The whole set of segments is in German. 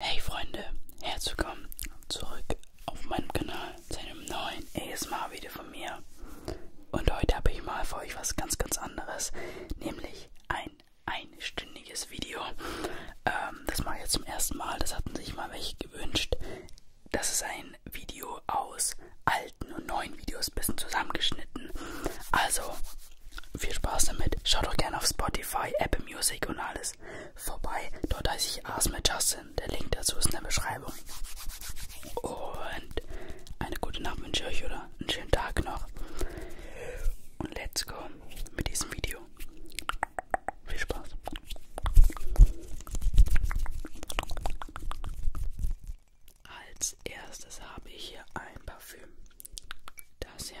Hey Freunde, herzlich willkommen zurück auf meinem Kanal zu einem neuen ASMR-Video von mir. Und heute habe ich mal für euch was ganz, ganz anderes, nämlich ein einstündiges Video. Ähm, das mache ich jetzt zum ersten Mal, das hatten sich mal welche gewünscht. Das ist ein Video aus alten und neuen Videos, ein bisschen zusammengeschnitten. Also, viel Spaß damit. Schaut doch gerne auf Spotify, Apple Music und alles vorbei. Dort heiße ich Ask mit Justin. Der Link dazu ist in der Beschreibung. Und eine gute Nacht wünsche ich euch oder einen schönen Tag noch. Und let's go mit diesem Video. Viel Spaß. Als erstes habe ich hier ein Parfüm. Das hier.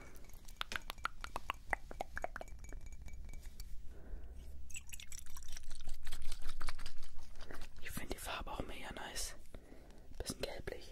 Ich finde die Farbe auch mega nice. Bisschen gelblich.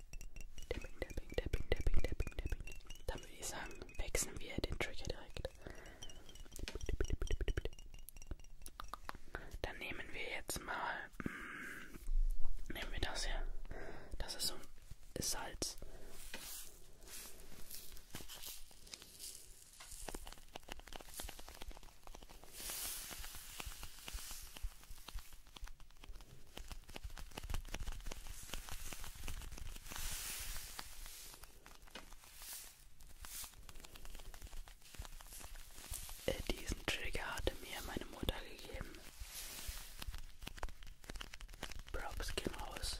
Dipping, dipping, dipping, dipping, dipping, dipping. Dann würde ich sagen, wechseln wir den Trigger direkt. Dann nehmen wir jetzt mal, mm, nehmen wir das hier. Das ist so ist Salz. Äh, diesen Trigger hatte mir meine Mutter gegeben. Props gehen raus.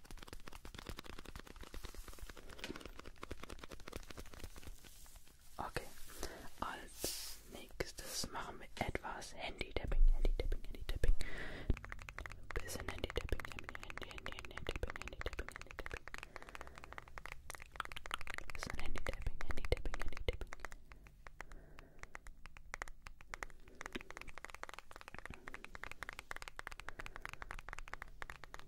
Okay, als nächstes machen wir etwas Handy-Tapping, Handy-Tapping, Handy-Tapping. Handy-Tapping, Handy-Tapping, Handy-Tapping, Handy-Tapping, Handy-Tapping, Handy-Tapping.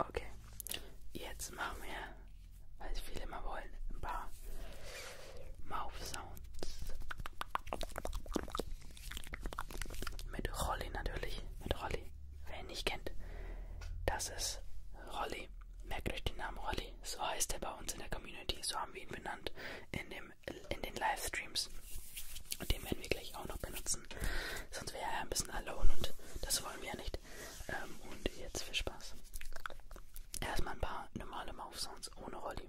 Okay, jetzt machen wir, weil viele mal wollen, ein paar Mouth Sounds. Mit Rolli natürlich, mit Rolli. Wer ihn nicht kennt, das ist Rolli. Merkt euch den Namen Rolli. So heißt er bei uns in der Community, so haben wir ihn benannt in, dem, in den Livestreams. Und den werden wir gleich auch noch benutzen. Sonst wäre er ein bisschen alone und das wollen wir ja nicht. Ähm, und jetzt viel Spaß. Erstmal ein paar normale Mouth Sounds ohne Rolli.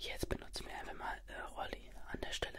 Jetzt benutzen wir einfach mal äh, Rolli an der Stelle.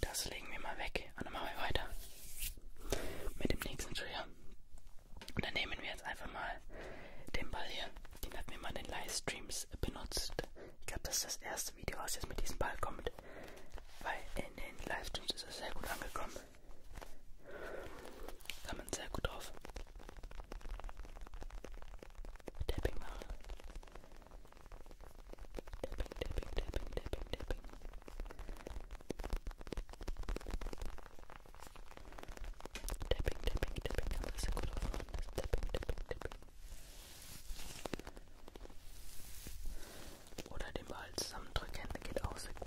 Das legen wir mal weg und dann machen wir weiter mit dem nächsten Trigger. Und dann nehmen wir jetzt einfach mal den Ball hier. Den hat mir mal in den Livestreams benutzt. Ich glaube, das ist das erste Video, was jetzt mit diesem Ball kommt. Weil in den Livestreams ist er sehr gut angekommen. Kann man sehr gut drauf. Tapping mache. Tapping, tapping, tapping, tapping, tapping. Tapping, tapping, tapping. Kann das so gut aufmachen. Das tapping, tapping, tapping. Oder den Ball zusammendrücken, geht auch sehr gut.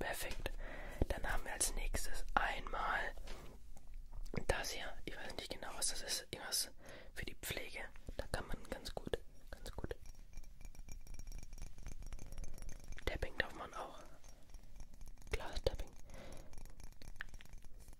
Perfekt. Dann haben wir als nächstes einmal das hier. Ich weiß nicht genau, was das ist. Irgendwas für die Pflege. Da kann man ganz gut, ganz gut. Tapping darf man auch. Glas-Tapping.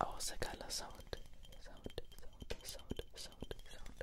Åsakalla oh, sound. Sound, sound, sound, sound, sound.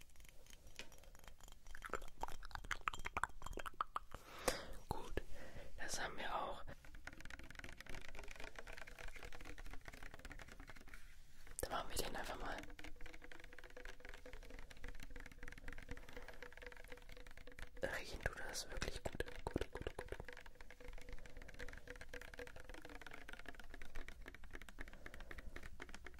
Gut, das haben wir auch. Dann machen wir den einfach mal. Riechen tut das wirklich gut. Gut, gut, gut.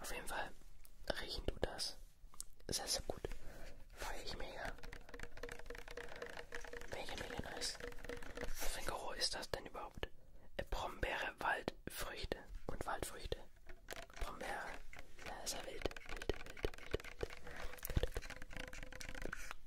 Auf jeden Fall riechen du das sehr, sehr gut. Freue ich mega. Mega, mega nice. Was für ein Geruch ist das denn überhaupt? Äh, Brombeere, Waldfrüchte und Waldfrüchte. Brombeere. Ja, ist ja wild. wild, wild, wild, wild.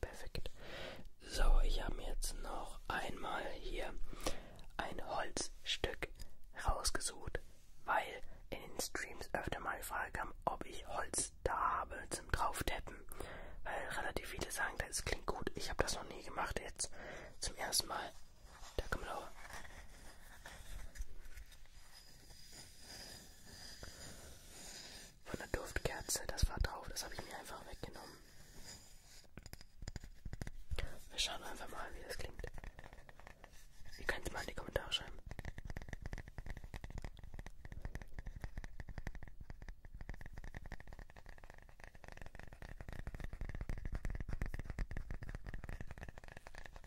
Perfekt. So, ich habe mir jetzt noch einmal hier ein Holzstück rausgesucht, weil in den Streams öfter mal die Frage kam, ob ich Holz da habe zum Drauftappen. Weil relativ viele sagen, das klingt gut. Ich habe das noch nie gemacht jetzt zum ersten Mal. Da kommt auch. Von der Duftkerze, das war drauf, das habe ich mir einfach weggenommen. Wir schauen einfach mal, wie das klingt. Ihr könnt es mal in die Kommentare schreiben.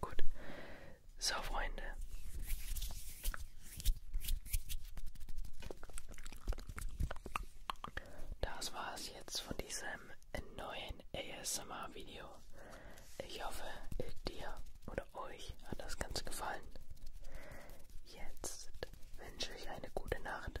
Gut. So, Freunde. Das war's jetzt von diesem neuen ASMR-Video. Ich hoffe, dir oder euch hat das Ganze gefallen. Jetzt wünsche ich eine gute Nacht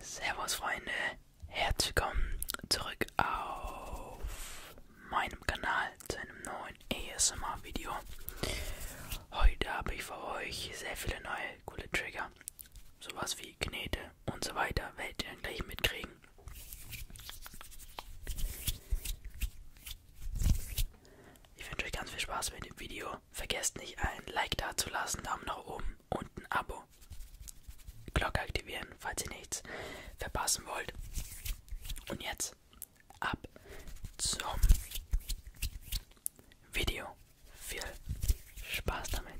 Servus Freunde, herzlich willkommen zurück auf meinem Kanal zu einem neuen ASMR Video. Heute habe ich für euch sehr viele neue coole Trigger, sowas wie Knete und so weiter, werdet ihr dann gleich mitkriegen. Ich wünsche euch ganz viel Spaß mit dem Video Vergesst nicht, ein Like da zu lassen, Daumen nach oben und ein Abo. Glocke aktivieren, falls ihr nichts verpassen wollt. Und jetzt ab zum Video. Viel Spaß damit.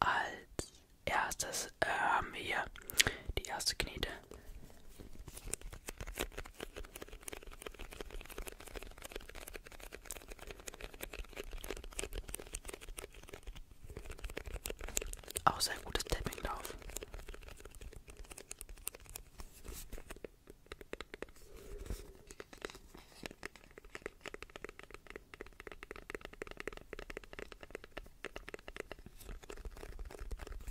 Als erstes äh, haben wir hier die erste Knete. Auch sehr gutes Tapping drauf.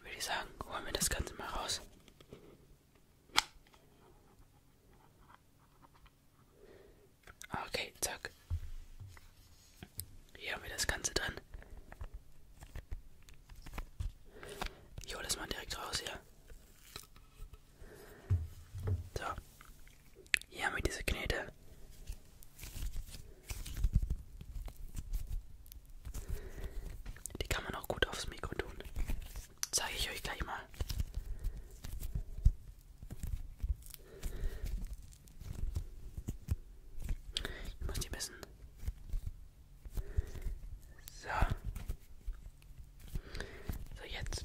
Würde ich sagen, holen wir das Ganze mal raus. Okay, zack. Hier haben wir das Ganze drin. Ich hole das mal direkt raus hier. So. Hier haben wir diese Knete. Die kann man auch gut aufs Mikro tun. Zeige ich euch gleich mal. Ich muss die wissen. So. So, jetzt.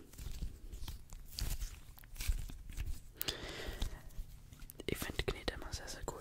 Ich finde Knete immer sehr, sehr cool.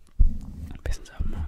Ein bisschen Sachen machen.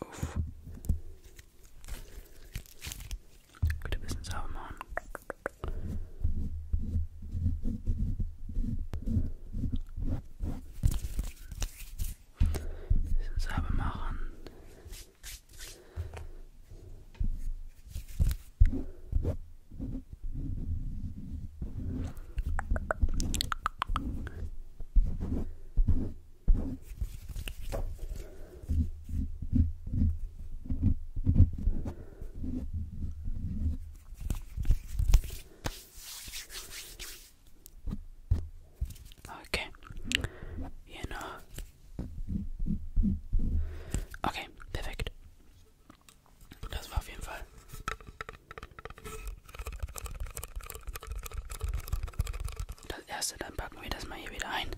Uff. Gut ein bisschen sauber machen. Ein bisschen Salbe machen. Okay. Genau. Okay, perfekt. Das war auf jeden Fall. Das erste, dann packen wir das mal hier wieder ein.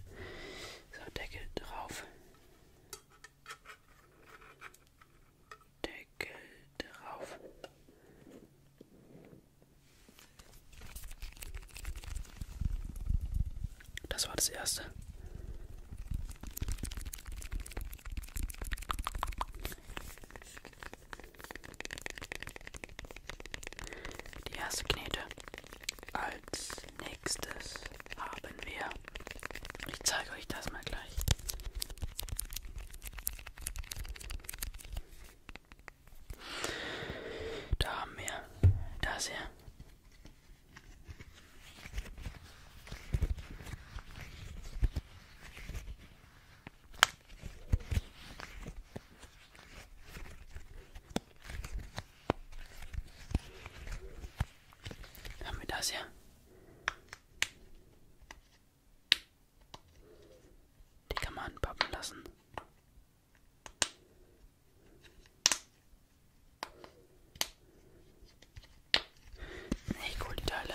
So, Deckel drauf. Deckel drauf. Das war das erste. Die erste Knete. Als nächstes haben wir. Ich zeige euch das mal gleich. Da haben wir das hier. Da haben wir das hier. Die kann man anpappen lassen. Echt cool, die Teile.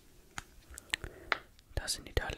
Das sind die Teile.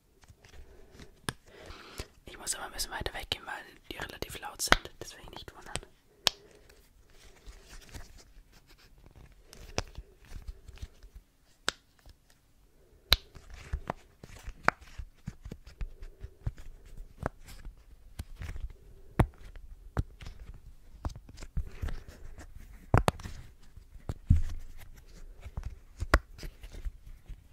Ich muss aber ein bisschen weiter weggehen, weil die relativ laut sind. Deswegen nicht wundern.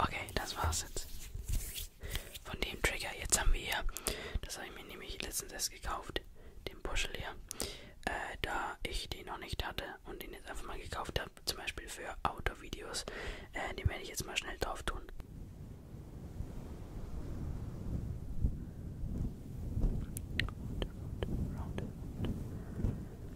Okay, das war's jetzt. Von dem Trigger. Jetzt haben wir hier, das habe ich mir nämlich letztens erst gekauft, den Puschel hier. Äh, da ich den noch nicht hatte und den jetzt einfach mal gekauft habe, zum Beispiel für Autovideos. Äh, den werde ich jetzt mal schnell drauf tun. Round, round, round,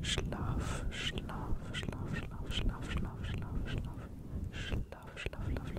Schlaf, Schlaf, Schlaf, Schlaf, Schlaf, Schlaf, Schlaf, Schlaf, Schlaf, Schlaf, Schlaf, Schlaf, Schlaf.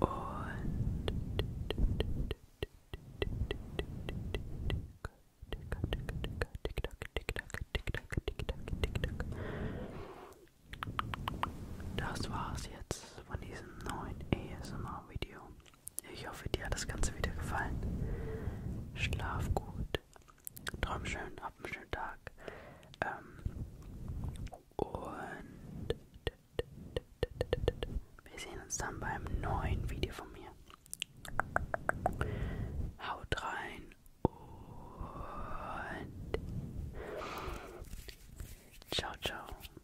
Und das war's jetzt von diesem neuen ASMR-Video. Ich hoffe, dir hat das Ganze wieder gefallen. Schlaf gut, träum schön, hab einen schönen Tag. Ähm, und wir sehen uns dann beim neuen Video von mir. Haut rein und ciao, ciao.